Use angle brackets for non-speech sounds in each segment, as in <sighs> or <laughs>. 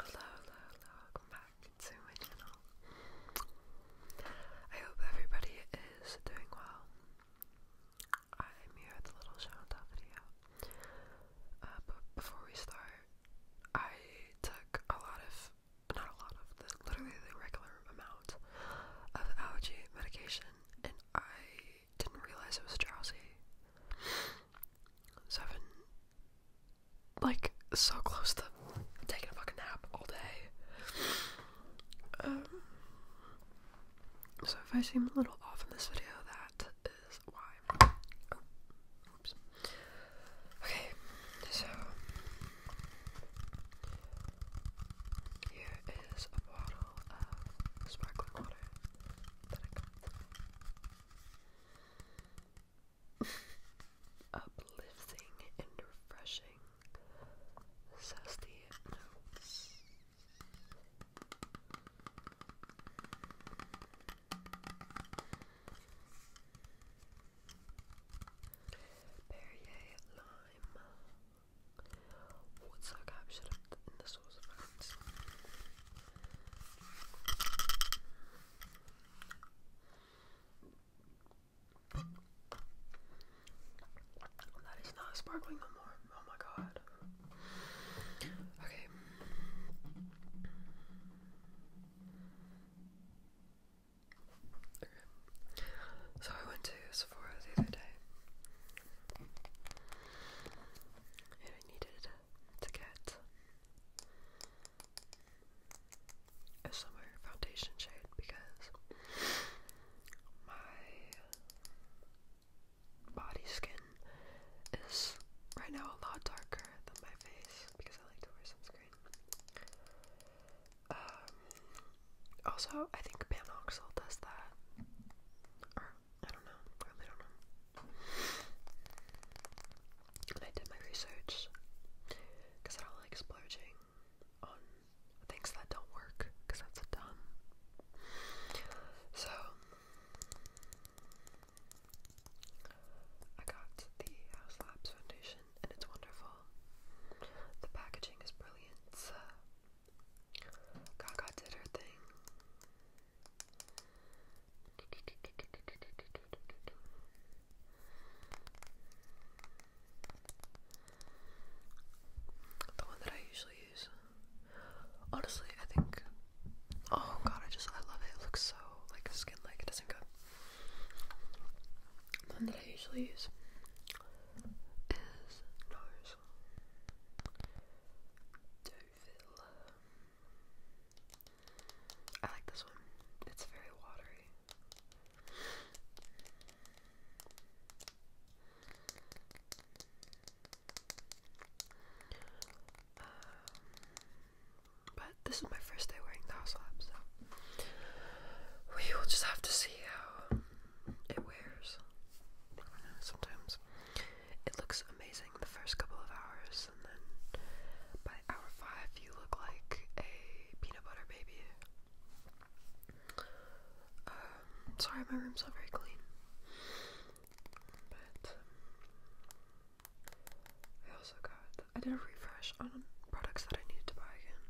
Hello, hello, hello, welcome back to my channel. I hope everybody is doing well. I'm here with a little shout video. Uh, but before we start, I took a lot of, not a lot of, literally the regular amount of allergy medication, and I didn't realize it was drowsy seven. Like so close to taking a fucking nap all day. Um, so if I seem a little off in this video, that is why. Okay, so here is a bottle of sparkling water that I got uplifting and refreshing zesty notes. Perrier lime. What's captured in the sauce of that is not sparkling no more. Oh my god. Okay. So I went to Sephora the other day. And I needed to get a summer foundation shade because my body skin is right now a lot darker than my face because I like to wear sunscreen. Um, also, I think Panoxyl does that. Or, I don't know. I really don't know and I did my research because I don't like splurging on things that don't work because that's dumb. So I got the House Labs foundation and it's wonderful. The packaging is brilliant. Gaga did her thing. The one that I usually use. Honestly, I think. Oh god, I just I love it. It looks so like skin like it doesn't go. The one that I usually use is nose. Do I like this one. It's very watery. Um, but this is my first day wearing the house lab, so we will just have to see how it wears. Sometimes it looks amazing the first couple of hours, and then by hour five, you look like a peanut butter baby. Um, sorry, my room's not very clean. But um, I also got, I did a refresh on products that I needed to buy again.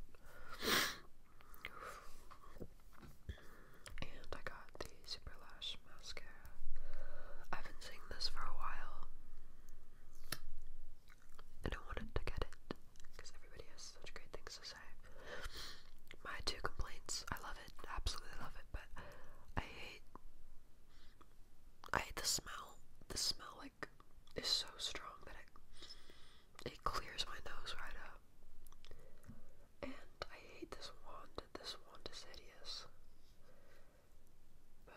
and I got the Super Lash mascara. I've been seeing this for a while and I wanted to get it because everybody has such great things to say. My two complaints: I love it, absolutely love it, but I hate, I hate the smell. The smell like is so strong that it it clears my nose right up. And I hate this wand. This wand is hideous. But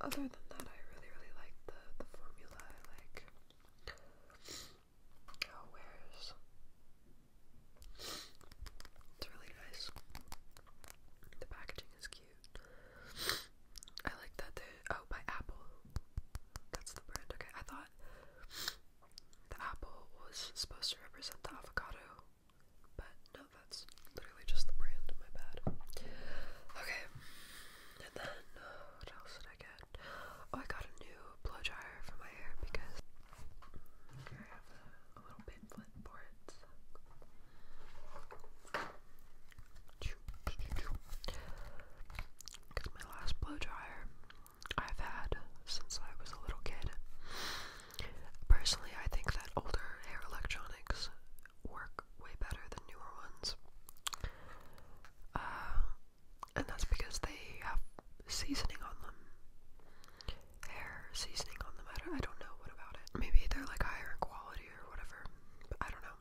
other than that, I really, really like the the formula. I like how it wears. It's really nice. The packaging is cute. I like that they oh by Apple. That's the brand. Okay, I thought the apple was supposed to represent the avocado, but no, that's literally just the brand, my bad. Okay, and then uh, what else did I get? Oh, I got a new blow dryer for my hair because okay, I have a, a little pamphlet for it. Because my last blow dryer I've had since I was a little kid. Personally, I think that older hair electronics work way better than newer ones. Uh, and that's because they have seasoning on them. Hair seasoning on them. I don't, know what about it. Maybe they're like higher quality or whatever. But I don't know.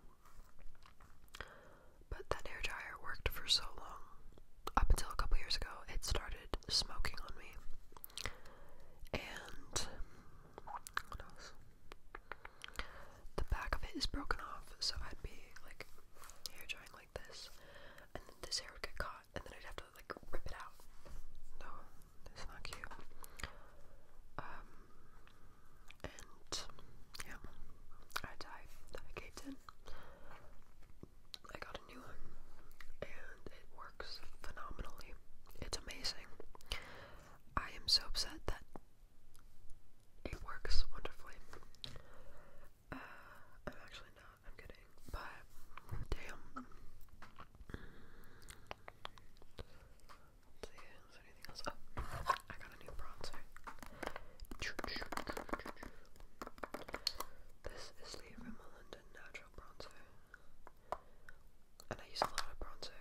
But that hair dryer worked for so long. Up until a couple years ago, it started smoking on me. And what else? the back of it is broken off, so I'd be like hair drying like this, and then this hair would get caught, and then I'd have to like rip it out. No, it's not cute. Um, and yeah, I dyed I caved in. I got a new one, and it works phenomenally. It's amazing. I am so upset that it works wonderfully. Uh, I'm actually not, I'm kidding, but damn. see, is anything else? Oh, I got a new bronzer. This is the Rimmel Natural Bronzer and I use a lot of bronzer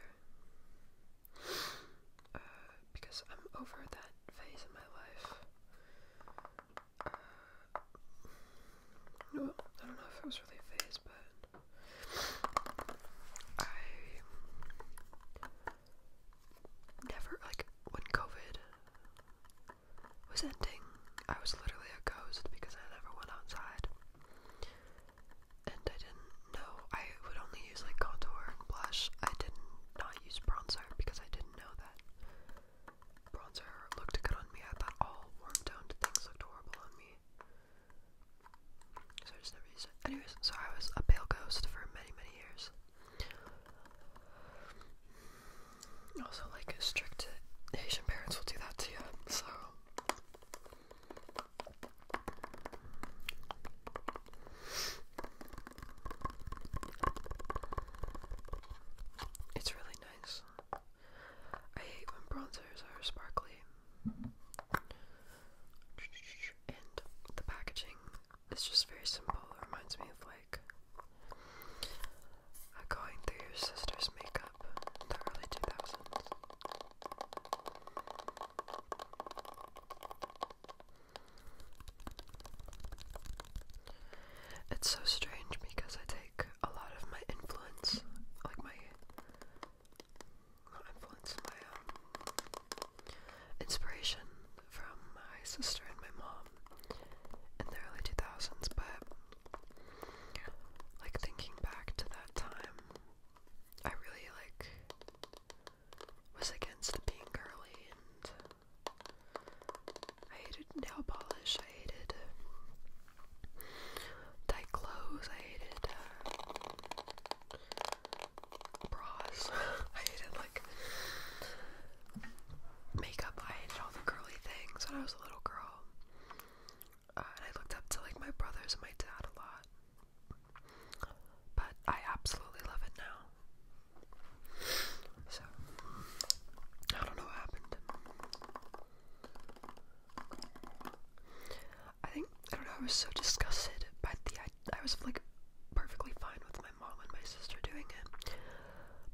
uh, because I'm over that phase in my life. Uh, well, I don't know if it was really a phase, but I never like when COVID was ending. I was literally a ghost because I never went outside and I didn't know I would only use like contour and blush. I did not use bronzer because I didn't know that bronzer looked good on me. I thought all warm toned things looked horrible on me. So I just never used it. Anyways, so I was a pale ghost for many, many years. Also, like strict Asian parents will do that to you, so it's really nice. I hate when bronzers are sparkly. And the packaging is just very simple. It reminds me of like going through your sister's makeup the early 2000s. It's so strange because I take a lot of my influence, like my influence, my um, inspiration from my sister and my mom in the early 2000s, but like thinking back to that time, I really like was against being girly, and I hated nail polish. I hated um, tight clothes. I hated uh, bras. <laughs> I hated like makeup. I hated all the girly things when I was a little girl. Uh, and I looked up to like my brothers and my dad a lot. But I absolutely love it now. So, I don't know what happened. I think, I don't know, I was so disgusted by the I, I was like perfectly fine with my mom and my sister doing it.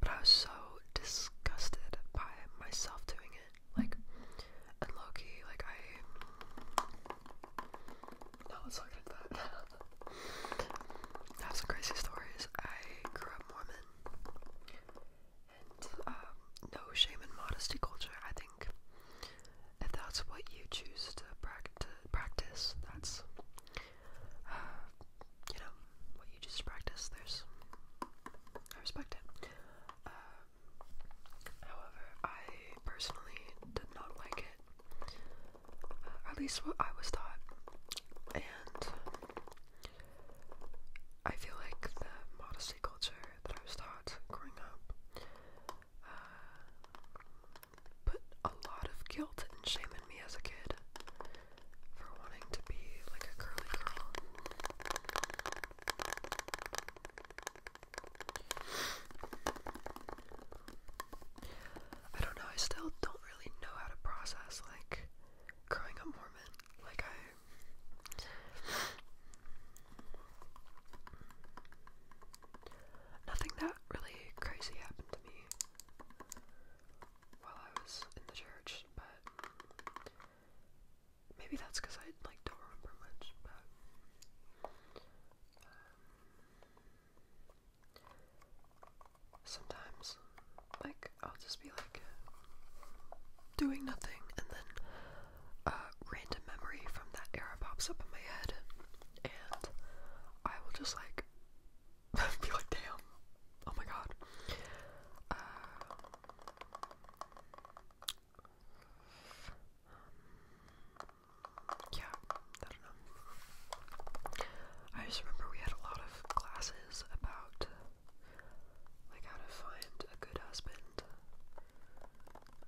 But I was so disgusted by myself doing it. Like, and Loki, like, I. No, oh, let's not get that. <laughs> have some crazy stories. I grew up Mormon. And um, no shame and modesty culture. I think if that's what you choose to, practice, that's, uh, you know, what you choose to practice. There's, I respect it. Um, however, I personally did not like it at least what I was taught. And I feel like the modesty culture that I was taught growing up uh, put a lot of guilt and shame in me as a kid for wanting to be like a curly girl. I don't know, I still don't really know how to process like growing up Mormon. Like I Nothing that really crazy happened to me while I was in the church, but maybe that's because I like don't remember much, but um, Sometimes, like, I'll just be like doing nothing, and then a random memory from that era pops up in my head, and I will just like <laughs> be like, damn, oh my god. Uh, yeah, I don't know. I just remember we had a lot of classes about like how to find a good husband,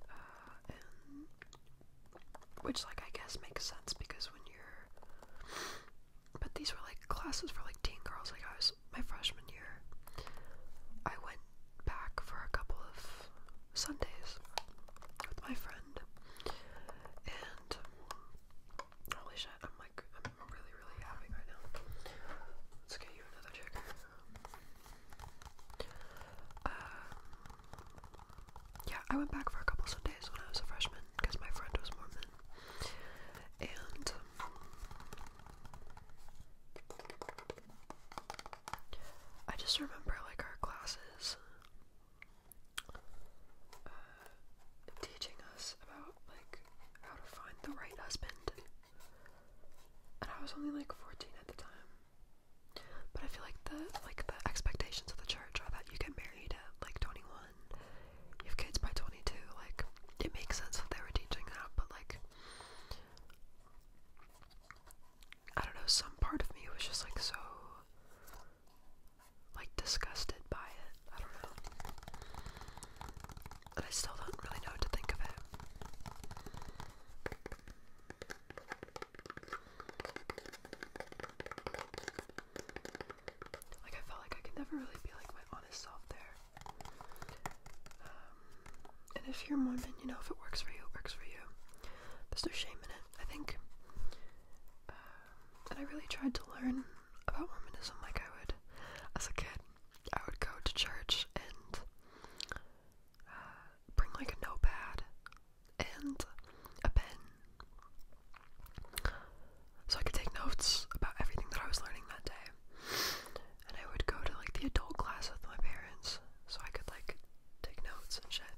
uh, and which like I guess makes sense because when you're, but these were like classes for like teen girls. Like I was my freshman year, I went back for a couple of Sundays with my friend, and holy shit, I'm like, I'm really, really happy right now. Let's get you another chicken. Um, yeah, I went back for a couple Sundays when I was a freshman because my friend was Mormon, and I just remember like our classes uh, teaching us about like how to find the right husband. And I was only like 14 at the time. But I feel like the like the expectations of the church are that you get married at like 21, you have kids by 22. Like it makes sense that they were teaching that, but like I don't know, some part of me was just like so like disgusted by it. I don't know. And I still don't really know to think of it. Like I felt like I could never really be like my honest self there. Um, and if you're Mormon, you know if it works for you, it works for you. There's no shame in it, I think. Um, and I really tried to learn about Mormonism like I would as a kid. I would go to church and uh, bring like a notepad and a pen so I could take notes about everything that I was learning that day. And I would go to like the adult class with my parents so I could like take notes and shit.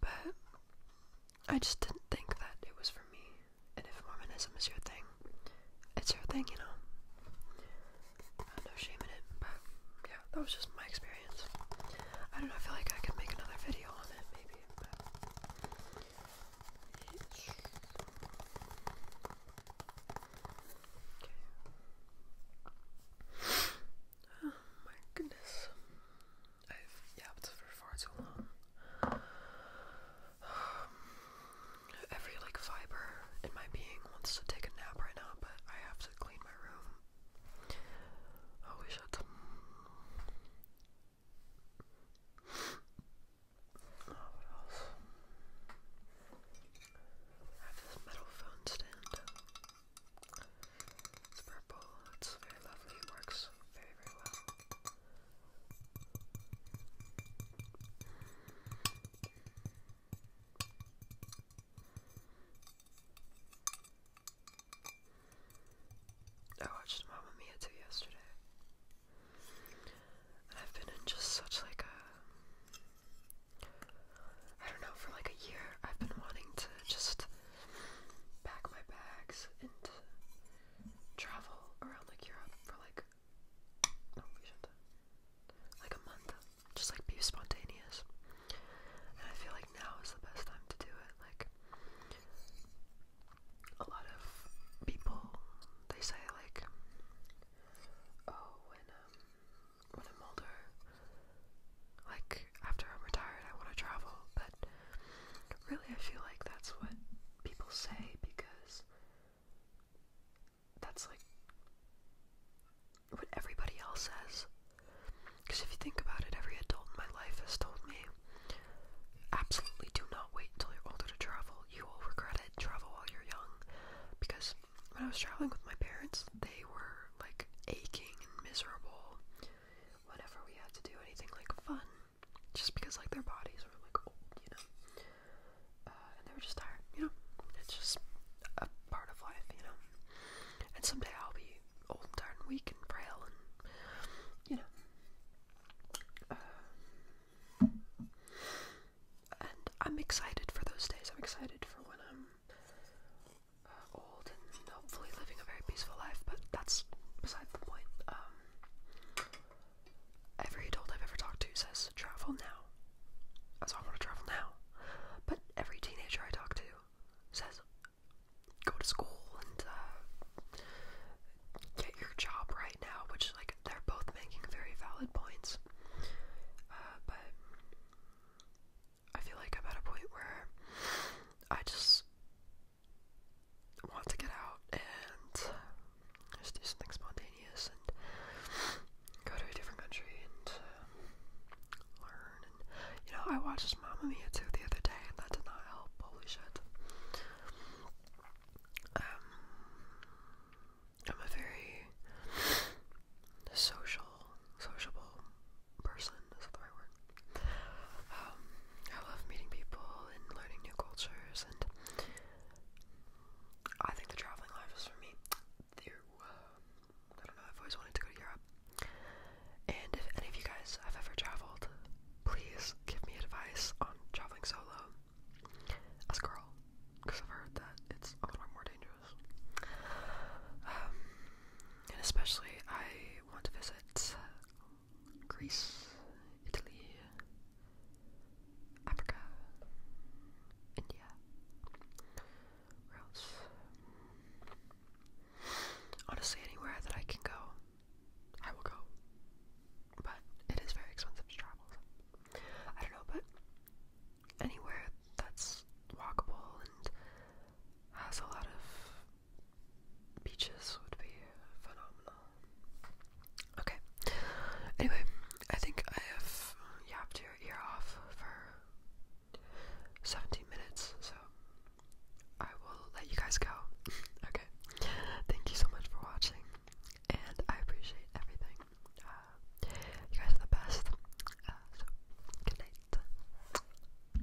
But I just didn't think that it was for me. And if Mormonism is your thing, it's your thing, you know. Uh, no shame in it, but yeah, that was just my experience. I don't know, I feel like I could make another video on it, maybe, but. Oh my goodness. I've yapped for far too long. <sighs> every like fiber in my being wants to take a nap right now, but I have to clean my room. Holy oh, shit. <sighs> Oh, what else? I have this metal phone stand. It's purple, it's very lovely, it works very, very well. I watched Mamma Mia too yesterday. I've been in just such like a I don't know, for like a year I've been wanting to just pack my bags and travel around like Europe for like no oh, we should like a month. Just like be spontaneous. And I feel like now is the best time to do it. Like a lot of people they say like oh when um, I'm older like, after I'm retired, I want to travel, but really, I feel like that's what people say because that's like what everybody else says. Because if you think about it, every adult in my life has told me absolutely do not wait until you're older to travel. You will regret it. Travel while you're young. Because when I was traveling with my parents, they were like aching and miserable whenever we had to do anything like fun, just because like their bodies were like old, you know, uh, and they were just tired, you know. It's just a part of life, you know. And someday I'll be old and tired and weak and frail and you know. Uh, and I'm excited for those days. I'm excited for when I'm uh, old and hopefully living a very peaceful life, but that's beside the point. Um, every adult I've ever talked to says travel now. So I want to travel now. But every teenager I talk to says go to school and uh, get your job right now, which like they're both making very valid points. Uh, but I feel like I'm at a point where I just want to get out and just do something spontaneous and go to a different country and uh, learn. And you know, I watched Mamma Mia 2 the other day, and that did not help. Holy shit. Um, I'm a very social sociable person, is the right word? Um, I love meeting people and learning new cultures, and I think the traveling life is for me. I don't know, I've always wanted to go to Europe. And if any of you guys have ever traveled, please give me advice on traveling solo as a girl, because I've heard that it's a lot more dangerous. Um, and especially, I want to visit Greece, Italy, Africa, India. Where else? Honestly, anywhere that I can go, I will go. But it is very expensive travel. I don't know, but anywhere that's walkable and has a lot of beaches would be phenomenal. Okay. Anyway, I think I have yapped your ear off for 17 minutes, so I will let you guys go. <laughs> okay. Thank you so much for watching, and I appreciate everything. Uh, you guys are the best. Uh, good night.